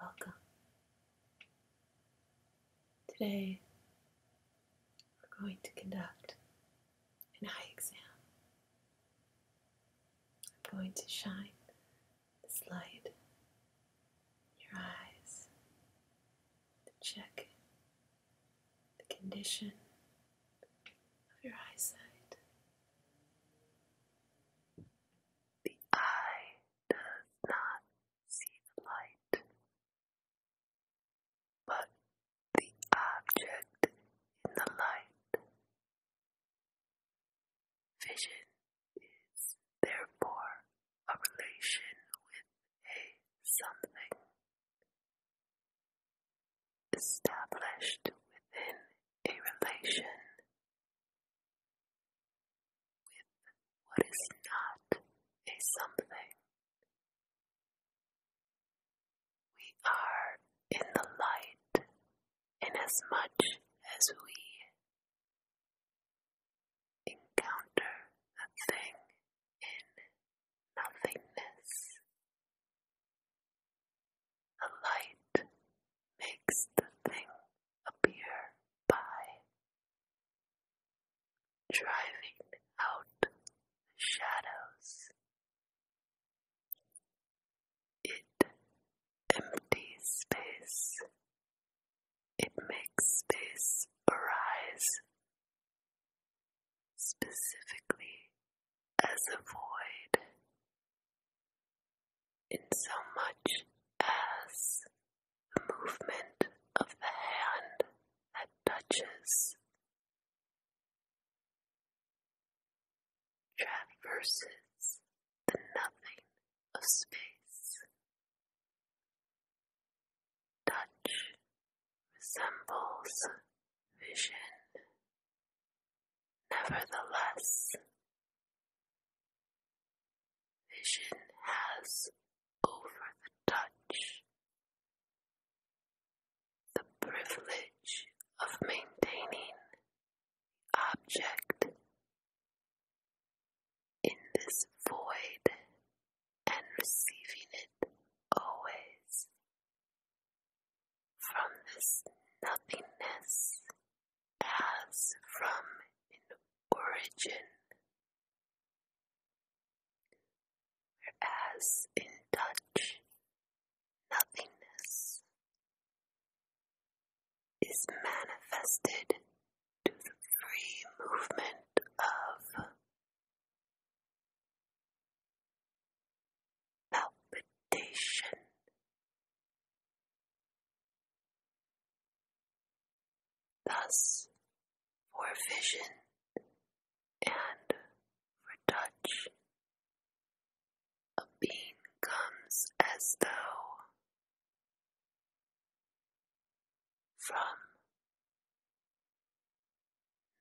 Welcome. Today we're going to conduct an eye exam. I'm going to shine this light in your eyes to check the condition of your eyesight. The eye does not see the light, but the object in the light. Vision is therefore a relation with a something established within a relation with what is not a something. We are in the light inasmuch as we encounter a thing in nothingness. The light makes the thing appear by driving out shadows. It empties space. It makes space arise specifically as a void in so much as the movement of the hand that touches traverses the nothing of space. Touch resembles vision. Nevertheless, vision has over the touch, the privilege of maintaining object in this void and receiving it always from this nothingness as from an origin, whereas in touch nothingness is manifested to the free movement of palpitation Thus, for vision and for touch, a being comes as though from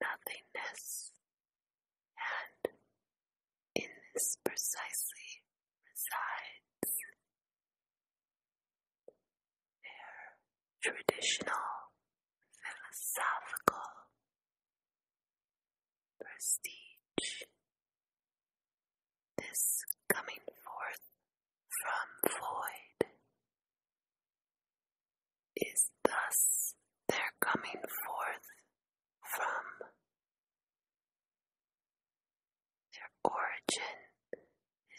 nothingness, and in this precisely resides their traditional philosophical prestige. This coming forth from void is thus their coming forth from their origin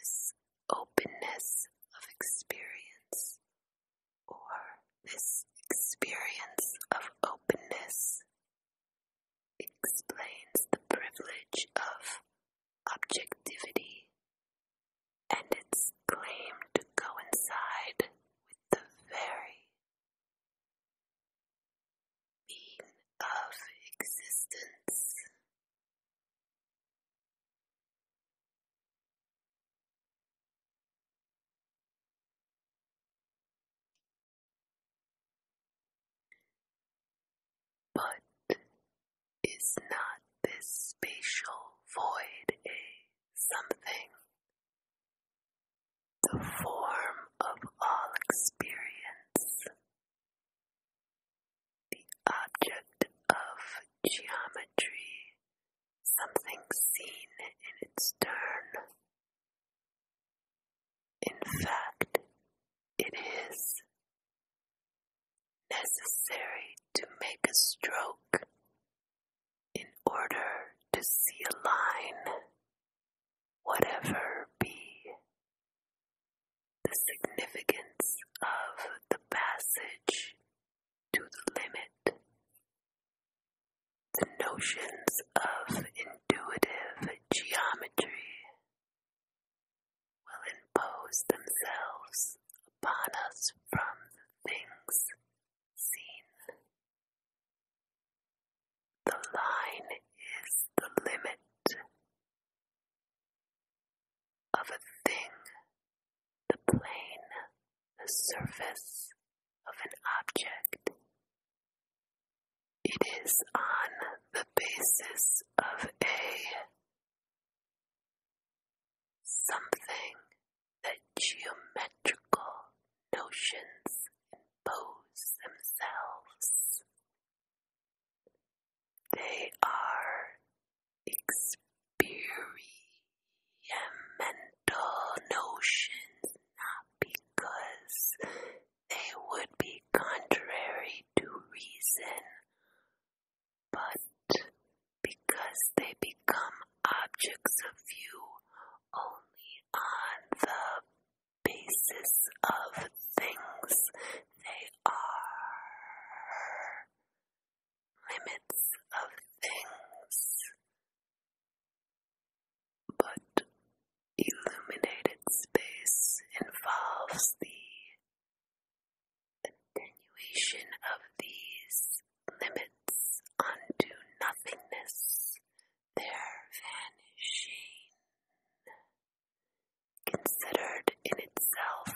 is openness of experience, or this experience of openness explains the privilege of objectivity and its claim to coincide with the very being of existence. But is not this spatial void a something? The form of all experience the object of geometry, something seen in its turn. In fact, it is necessary to make a stroke in order to see a line whatever be the significance of the passage to the limit, the notions of intuitive geometry will impose themselves upon us from things seen. The line is the limit of a thing, the plane, the surface of an object. It is on the basis of a something that geometrical notions impose themselves. They are experimental notions not because they would be contrary to reason, but because they become objects of view only on the basis of things they are, limits of things, but illuminated space involves the continuation of these limits unto nothingness, their vanishing considered in itself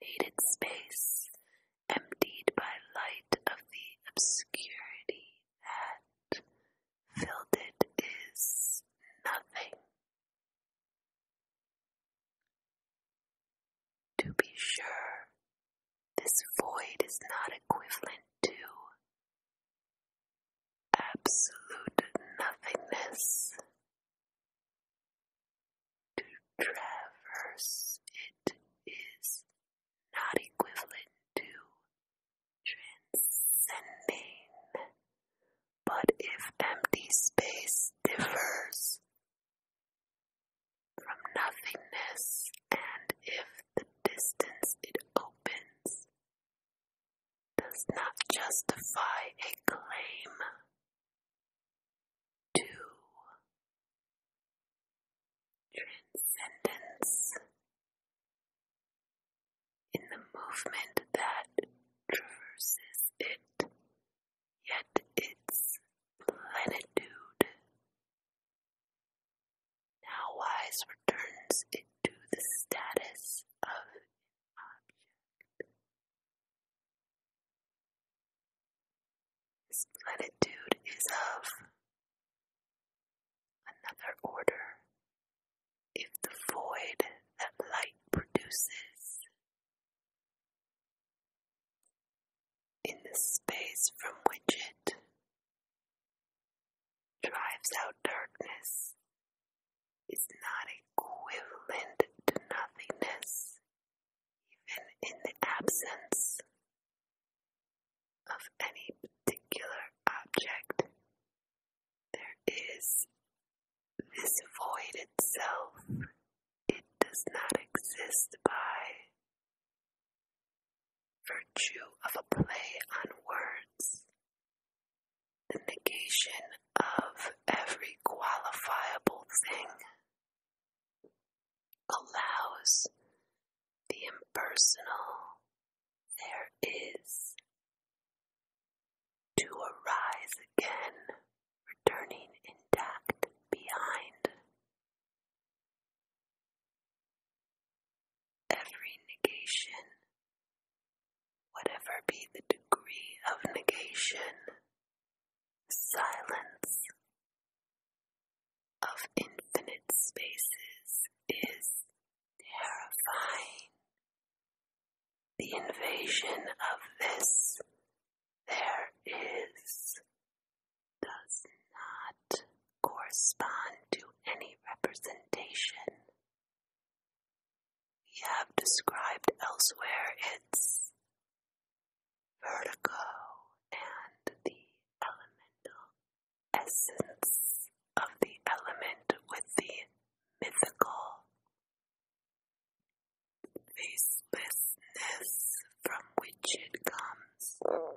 illuminated space emptied by light of the obscurity that filled it is nothing. To be sure, this void is not equivalent to absolute nothingness, to traverse it is not equivalent to transcending, but if empty space differs from nothingness, and if the distance it opens does not justify a claim to transcendence in the movement that traverses it, yet its plenitude now "Wise" returns into the status of object. This is of another order. If the void that light produces in the space from which it drives out darkness is not equivalent to nothingness, even in the absence of any particular object. There is this void itself, it does not exist by virtue of a play on words the negation of every qualifiable thing, allows the impersonal there is to arise again, returning intact behind every negation, whatever be the degree of negation, silence of infinite spaces is terrifying. The invasion of this there is does not correspond to any representation we have described elsewhere its vertigo and the elemental essence of the element with the mythical facelessness from which it comes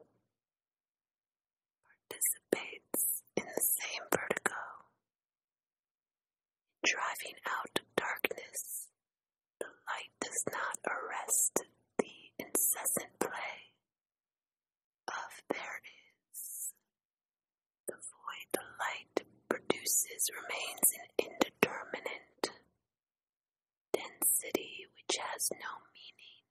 participates in the same vertigo, driving out darkness. The light does not arrest the incessant play of there is. The void the light produces remains an indeterminate density which has no meaning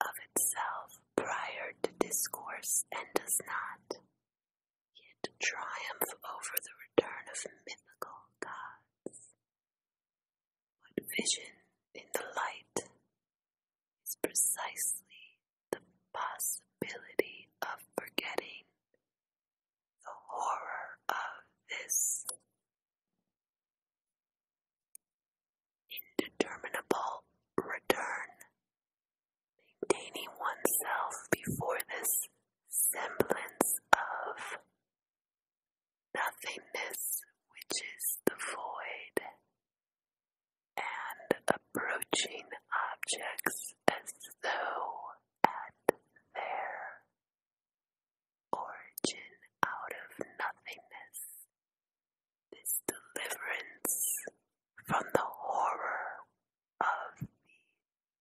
of itself prior to discourse and does not yet triumph over the return of mythical gods. What vision in the light is precisely the possibility of forgetting the horror of this indeterminable return. Maintaining oneself before this semblance of nothingness, which is the void, and approaching objects as though at their origin out of nothingness this deliverance from the horror of the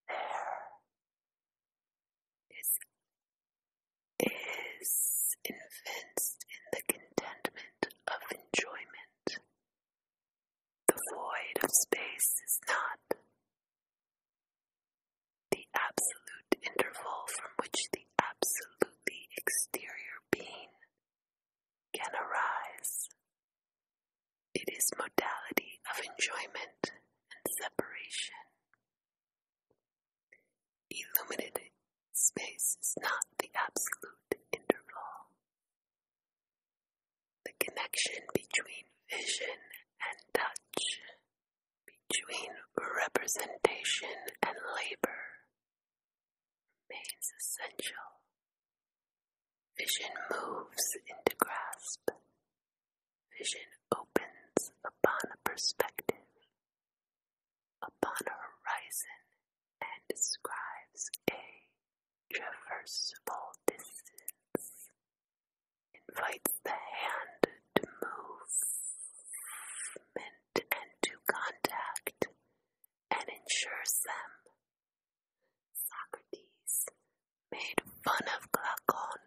there is, is evinced in the contentment of enjoyment. The void of space is not the absolute interval from which the absolutely exterior being can arise. It is modality of enjoyment and separation. Illuminated space is not the absolute interval. The connection between vision and touch, between representation and labor, remains essential Vision moves into grasp. Vision opens upon a perspective, upon a horizon, and describes a traversable distance. Invites the hand to movement and to contact, and ensures them. Socrates made fun of Glaucon,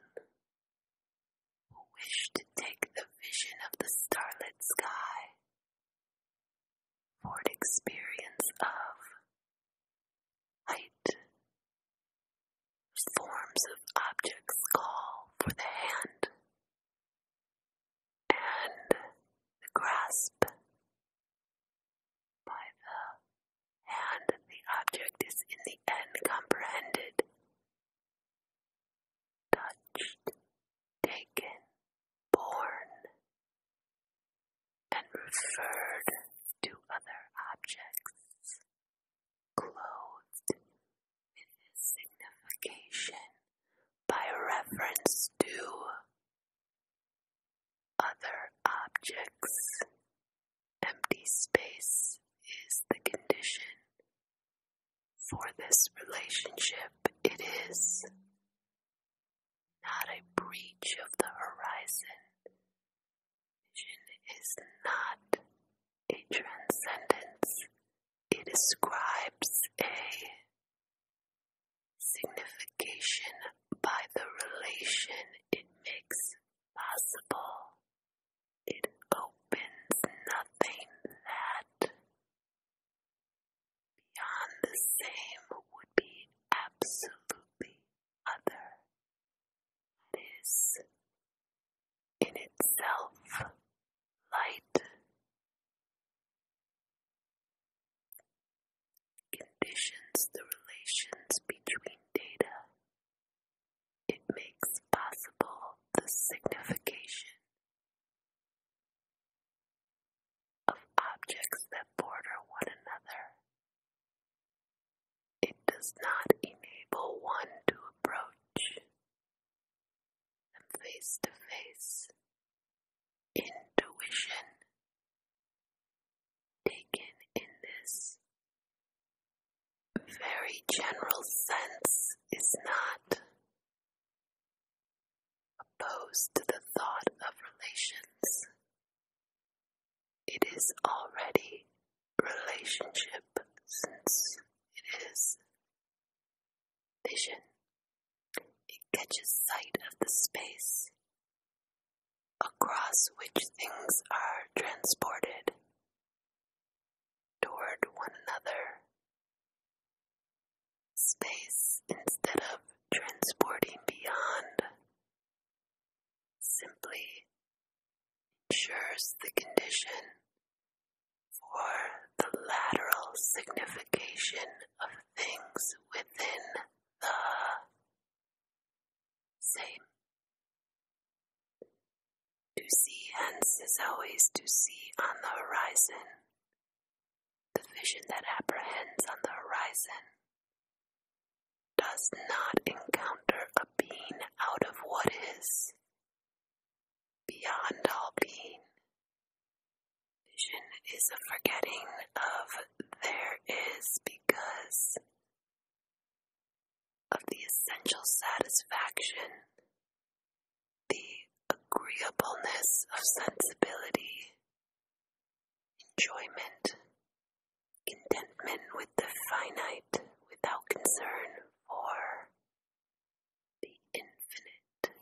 who wished to take the vision of the starlit sky for an experience of height. Forms of objects call for the hand and the grasp by the hand the object is in the end comprehended, touched, taken, born, and referred to other objects, clothed in his signification by reference to other objects. Empty space is the condition for this relationship. It is not a breach of the horizon. Vision is not a transcendence. It describes a signification by the relation it makes possible. It opens nothing that beyond the same would be absolutely other. It is in itself light conditions the relations between data. It makes possible the signification of objects that border one another. It does not enable one to approach them face to face intuition taken in this very general sense is not opposed to the thought of relations. It is already relationship since it is vision it catches sight of the space across which things are transported toward one another. Space, instead of transporting beyond, simply ensures the condition for the lateral signification of things within the same. To see hence is always to see on the horizon, the vision that apprehends on the horizon. Does not encounter a being out of what is beyond all being, Vision is a forgetting of there is because of the essential satisfaction, the agreeableness of sensibility, enjoyment, contentment with the finite without concern for the infinite.